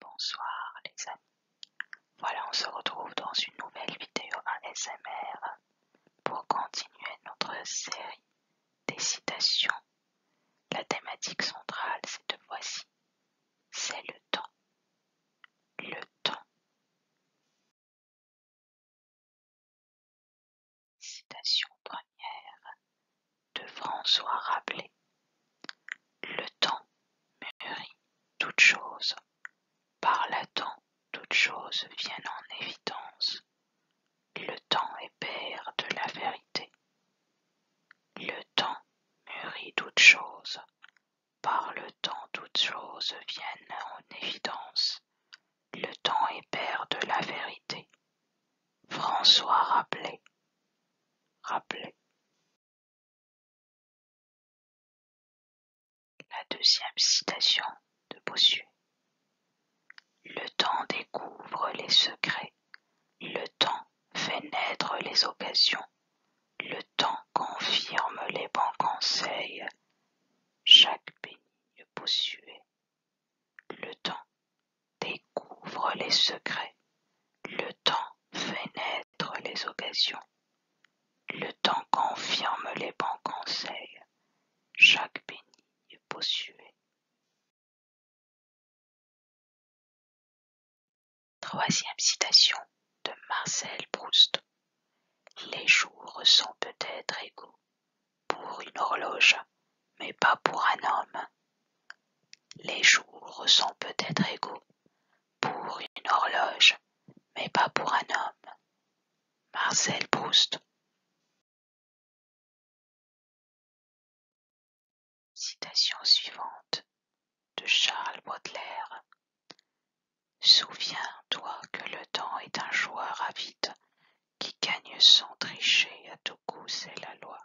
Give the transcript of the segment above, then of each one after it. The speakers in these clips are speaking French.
Bonsoir les amis, voilà on se retrouve dans une nouvelle vidéo ASMR pour continuer notre série des citations. La thématique centrale cette fois-ci, c'est le temps. Le temps. Citation première de François Rabelais. Le temps mûrit toutes choses. par le temps, toutes choses viennent en évidence. Le temps est père de la vérité. Le temps mûrit toutes choses. par le temps toutes choses viennent en évidence. Le temps est père de la vérité. François rappelait, rappelé. La deuxième citation de Bossuet. Le temps découvre les secrets. Le temps fait naître les occasions. Le temps confirme les bons conseils. Jacques Bénigne Bossuet le temps découvre les secrets, le temps fait naître les occasions, le temps confirme les bons conseils, chaque bénigne bossuet. Troisième citation de Marcel Proust. Les jours sont peut-être égaux, pour une horloge, mais pas pour un homme. Les jours sont peut-être égaux, pour une horloge, mais pas pour un homme. Marcel Proust. Citation suivante de Charles Baudelaire. Souviens-toi que le temps est un joueur avide, qui gagne sans tricher, à tout coup c'est la loi.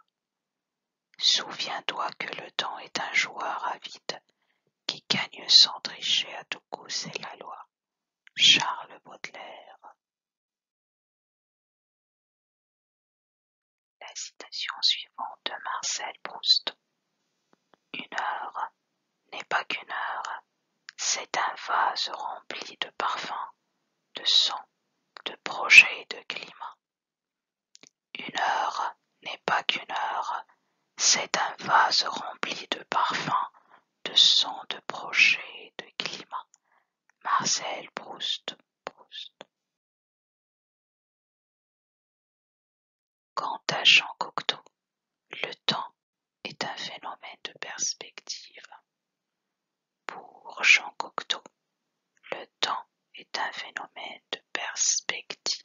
Souviens-toi que le temps est un joueur avide, qui gagne sans tricher, à tout coup c'est la loi. Charles Baudelaire. La citation suivante de Marcel Proust. Une heure n'est pas qu'une heure, c'est un vase rempli de parfums, de sons, de projets et de climat. Une heure n'est pas qu'une heure, c'est un vase rempli de parfums, de sons, de projets de climat. Marcel Proust. Quant à Jean Cocteau, le temps est un phénomène de perspective. Pour Jean Cocteau, le temps est un phénomène de perspective.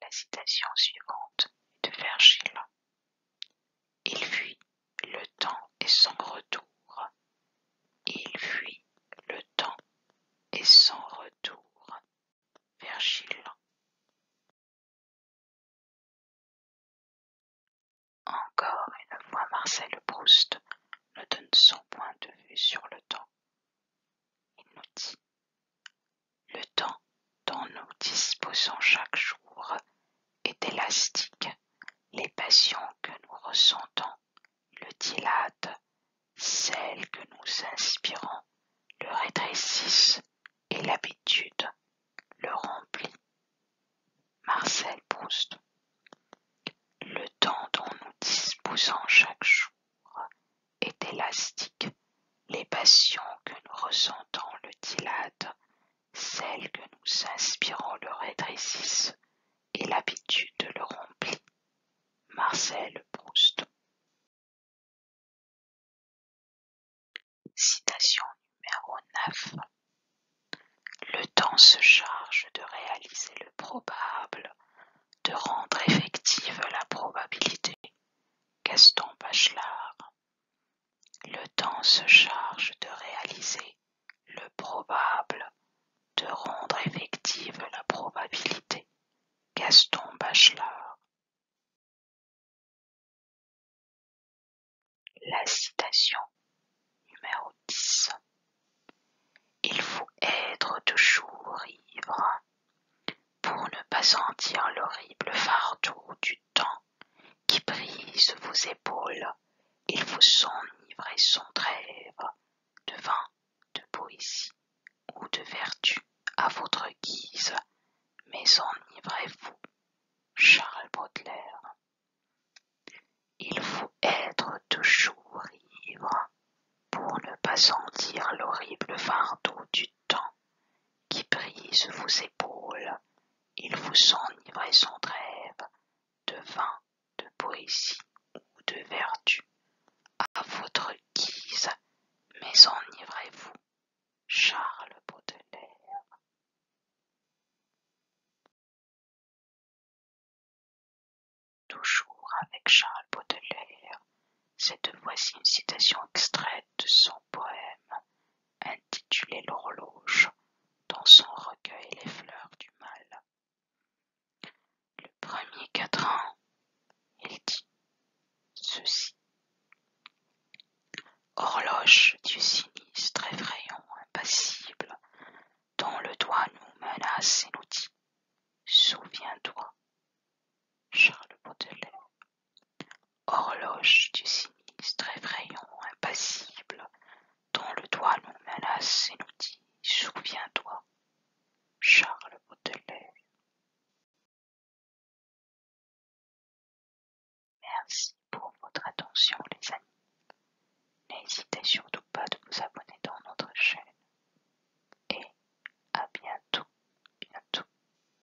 La citation suivante est de Vergile. Il fuit le temps et son retour. Il fuit le temps et son retour vers Encore une fois Marcel Proust nous donne son point de vue sur le temps. Il nous dit Le temps dont nous disposons chaque jour est élastique. Les passions que nous ressentons le dilate, celle que nous inspirons le rétrécissent et l'habitude le remplit. Marcel Proust. Le temps dont nous disposons chaque jour est élastique. Les passions que nous ressentons le dilatent, celles que nous inspirons le rétrécissent et l'habitude le remplit. Marcel Proust. Citation numéro 9. Le temps se charge de réaliser le probable, de rendre effective la probabilité. Gaston Bachelard. Le temps se charge de réaliser le probable, de rendre effective la probabilité. Gaston Bachelard. La citation numéro 10. Il faut être toujours ivre pour ne pas sentir l'horrible fardeau du temps qui brise vos épaules, il vous enivre son sans trêve de vin, de poésie ou de vertu à votre guise, mais enivrez-vous. Charles Baudelaire. Il faut être toujours ivre pour ne pas sentir l'horrible fardeau du temps qui brise vos épaules il vous enivrait sans trêve de vin, de poésie ou de vertu, à votre guise, mais enivrez-vous, Charles Baudelaire. Toujours avec Charles Baudelaire, cette voici une citation extraite de son poème intitulé l'horloge, dans son recueil les fleurs du mal. Le premier quatrain, il dit ceci. Horloge du sinistre effrayant, impassible, dont le doigt nous menace et nous dit Souviens-toi. Charles Baudelaire. Horloge du sinistre effrayant, impassible, dont le doigt nous menace et nous dit Souviens-toi. Charles Baudelaire. Merci pour votre attention, les amis. N'hésitez surtout pas de vous abonner dans notre chaîne. Et à bientôt, bientôt.